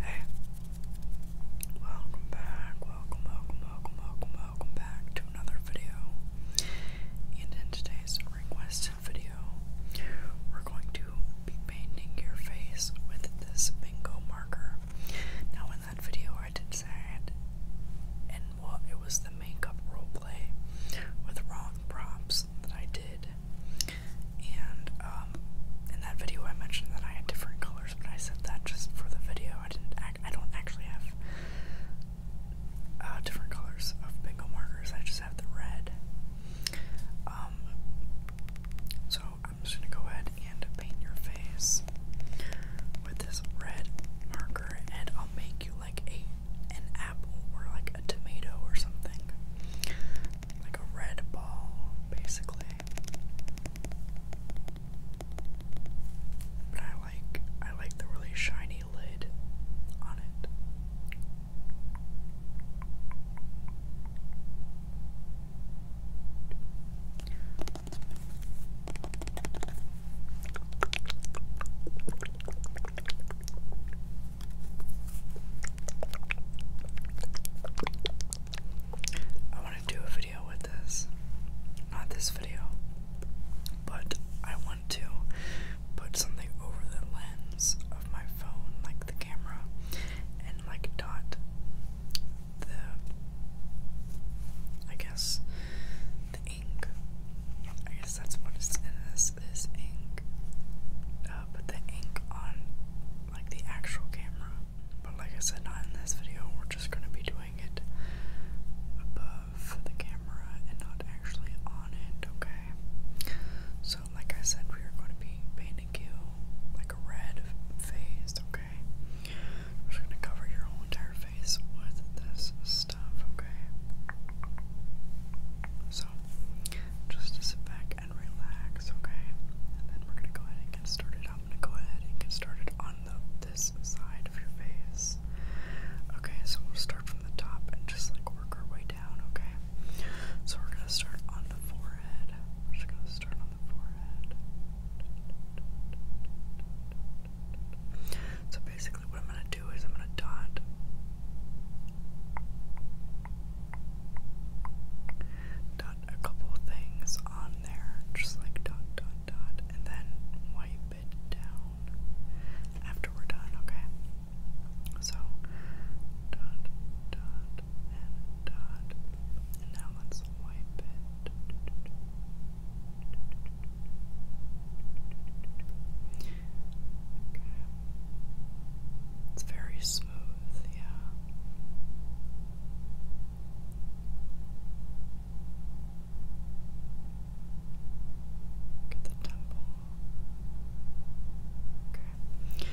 Hey, welcome back, welcome, welcome, welcome, welcome, welcome back to another video. in today's request video, we're going to be painting your face with this bingo marker. Now, in that video, I did say I it was the makeup role play with wrong props that I did. And um, in that video, I mentioned that I had different colors, but I said that just for the video. I didn't. Act, I don't actually have uh, different colors of bingo markers. I just have the red. Um, so I'm just gonna go ahead and paint your face with this red marker, and I'll make you like a an apple or like a tomato or something. Like a red ball, basically. But I like I like the really shiny lid on it. I want to do a video with this. Not this video, but I want to put something over the lens of my phone, like the camera, and like dot the, I guess, ink. I guess that's what it's is ink. Uh, put the ink on like the actual camera. But like I said, not in this video. We're just gonna be doing it above the camera and not actually on it, okay? So like I said, we are going to be painting you like a red face, okay? just gonna cover your whole entire face with this stuff, okay? So, just to sit back and relax, okay? And then we're gonna go ahead and get started. I'm gonna go ahead and get started on the this side of your face. Okay, so we'll start from the top and just like work our way down, okay? So we're gonna start on the forehead. We're just gonna start on the forehead. So basically what I'm going to do is I'm going to dot dot a couple things on there, just like dot dot dot, and then wipe it down after we're done, okay? So dot dot and dot and now let's wipe it. Okay. It's very smooth, yeah. Look the temple. Okay.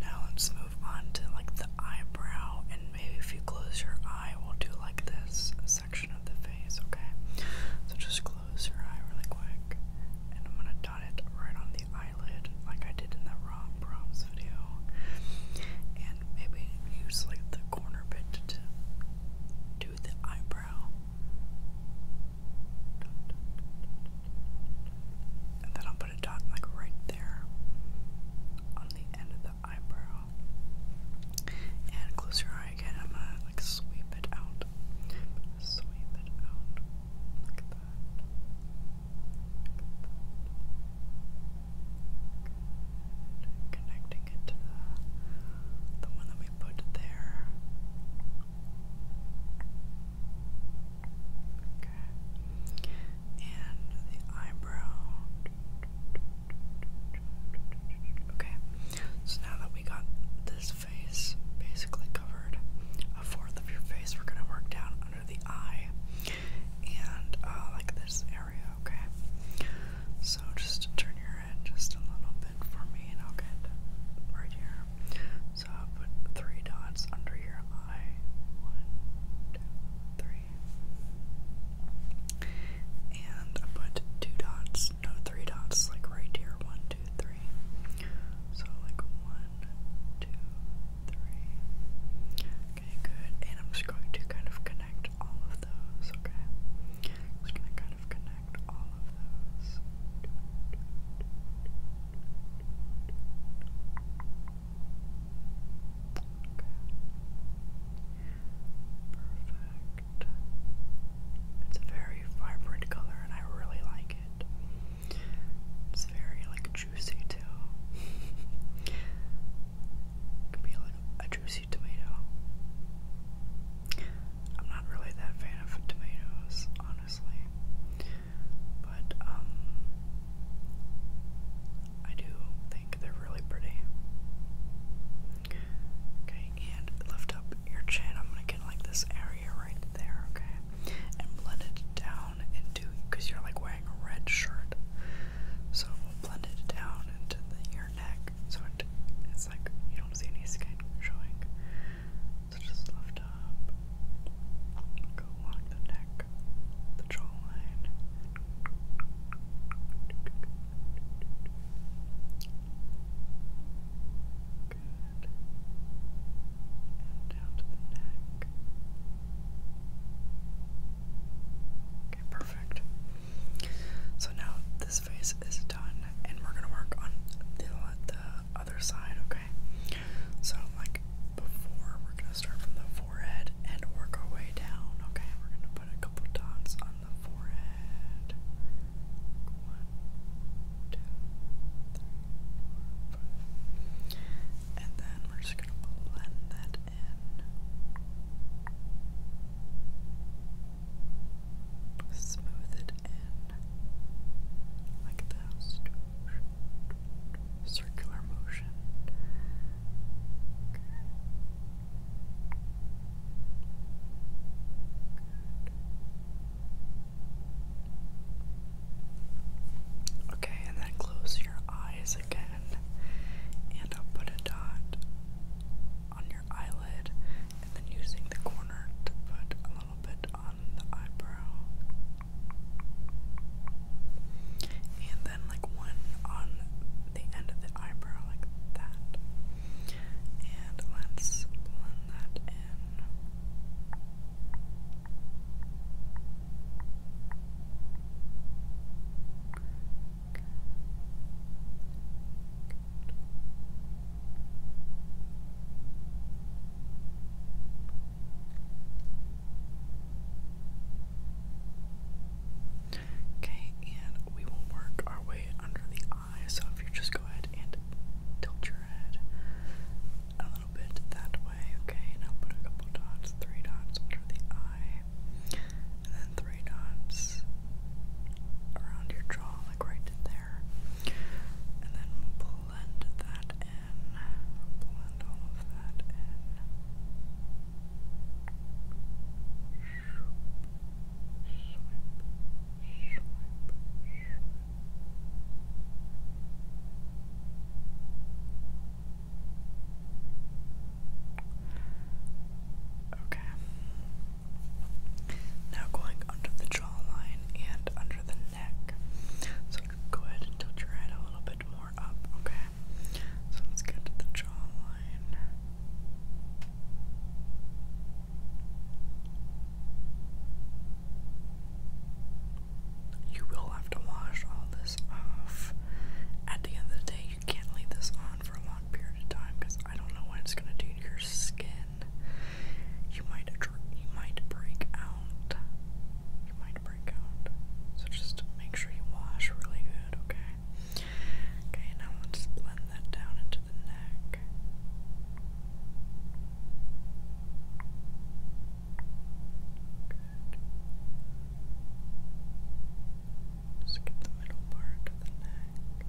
Now let's move on to like the eyebrow, and maybe if you close your eye, we'll do like this section of the face, okay? So just close your eye really quick, and I'm gonna dot it right on the eyelid, like I did in that Rob Brahms video. And maybe use like the corner bit to do the eyebrow. And then I'll put a dot like right there on the end of the eyebrow. And close your eye again. I'm gonna like sweep it out. Sweep it out. Look that. Connecting it to the the one that we put there. Okay. And the eyebrow. Okay, so now that we got this face basically covered, a fourth of your face, we're gonna work down under the eye and uh, like this area, okay? So just turn your head just a little bit for me, and I'll get right here. So i put three dots under your eye. One, two, three. And I put two dots, no, three dots, like right here. One, two, three. So, like one, two, three. Okay, good. And I'm just going to kind of connect all of those, okay? am just going to kind of connect all of those. Perfect. It's a very vibrant color and I really like it. It's very like juicy too. could be like a juicy tomato. I'm not really that fan of tomatoes, honestly. But um I do they're really pretty. Okay, and lift up your chin. I'm gonna get like this area right there, okay? And blend it down into because you're like wearing a red shirt. So blend it down into the, your neck so it, it's like you don't see any skin showing. So just lift up, go along the neck, the jawline, Okay, perfect. So now this face is done, and we're gonna work on the, the other side, okay? So, like before, we're gonna start from the forehead and work our way down. Okay, we're gonna put a couple dots on the forehead. One, two, three, four, five. And then we're just gonna blend that in. Smooth it in like this circular motion. Okay, and then close your eyes again, and I'll put a dot on your eyelid, and then using the corner to put a little bit on the eyebrow and then like one on the end of the eyebrow like that. And let's blend that in. Okay, and we will work our way under the eye. So if you just go ahead and tilt your head a little bit that way, okay? Now put a couple dots, three dots under the eye, and then three dots around your jaw, like right there. And then we'll pull blend that in. Blend all of that in. Okay. Now going under the jawline and under the so go ahead and tilt your head a little bit more up, okay? So let's get to the jawline. You will have to wash all this off. At the end of the day, you can't leave this on for a long period of time because I don't know what it's gonna do to your skin. You might you might break out. You might so just make sure you wash really good, okay? Okay, now let's blend that down into the neck. Just get the middle part of the neck.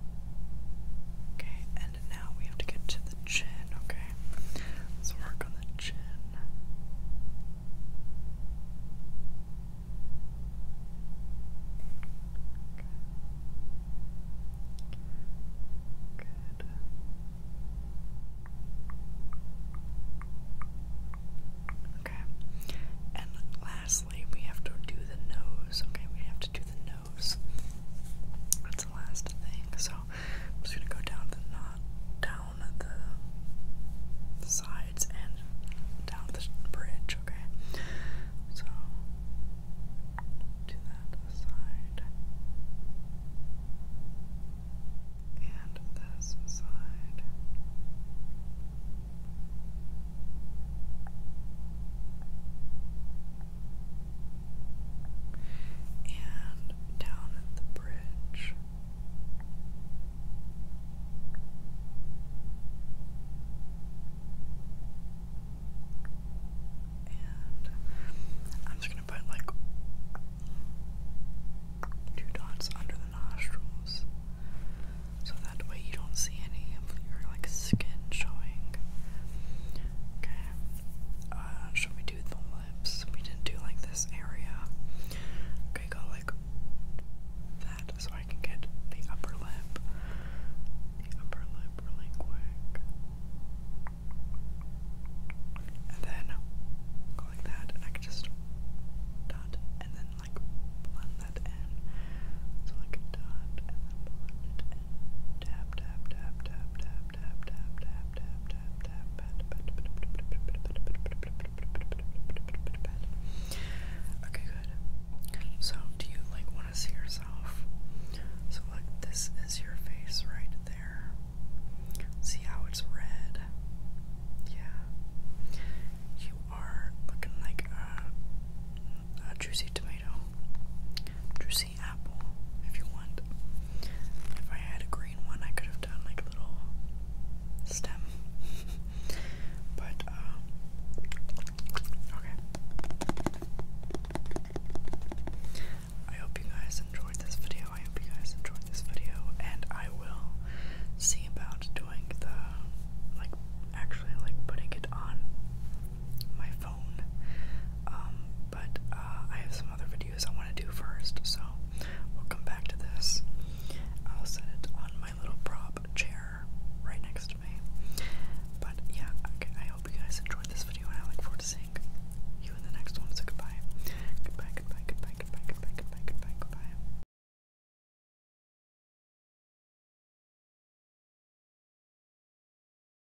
Okay, and now we have to get to the chin, okay? let's work on the chin. Good. Okay. And lastly, we have to do the nose. Okay, we have to do the nose. That's the last thing. So I'm just gonna go down the knot, down the sides and down the bridge. Okay, so do that side and this side and down at the bridge. And I'm just going to put like two dots under the nostrils so that way you don't see any of your like skin showing. Okay. Uh, should we do the lips? We didn't do like this area. Okay, go like that so I can get the upper lip. The upper lip really quick. And then go like that, and I can just dot and then like blend that in. So like a dot and blend it in. Tap, tap, tap, tap, tap, Okay good. So do you like wanna see yourself? So like this is your face right there. See how it's red? Yeah. You are looking like a, a juicy tomato. Juicy apple if you want. If I had a green one, I could have done like a little stem. but, uh, okay. I hope you guys enjoyed this video. I hope you guys enjoyed this video, and I will see about doing the like actually like putting it on my phone um but uh, I have some other videos I want to do first, so we'll come back to this. I'll set it on my little prop chair right next to me. But yeah, okay, I hope you guys enjoyed this video, and I look forward to seeing you in the next one. So goodbye, goodbye, goodbye, goodbye, goodbye, goodbye, goodbye, goodbye, goodbye.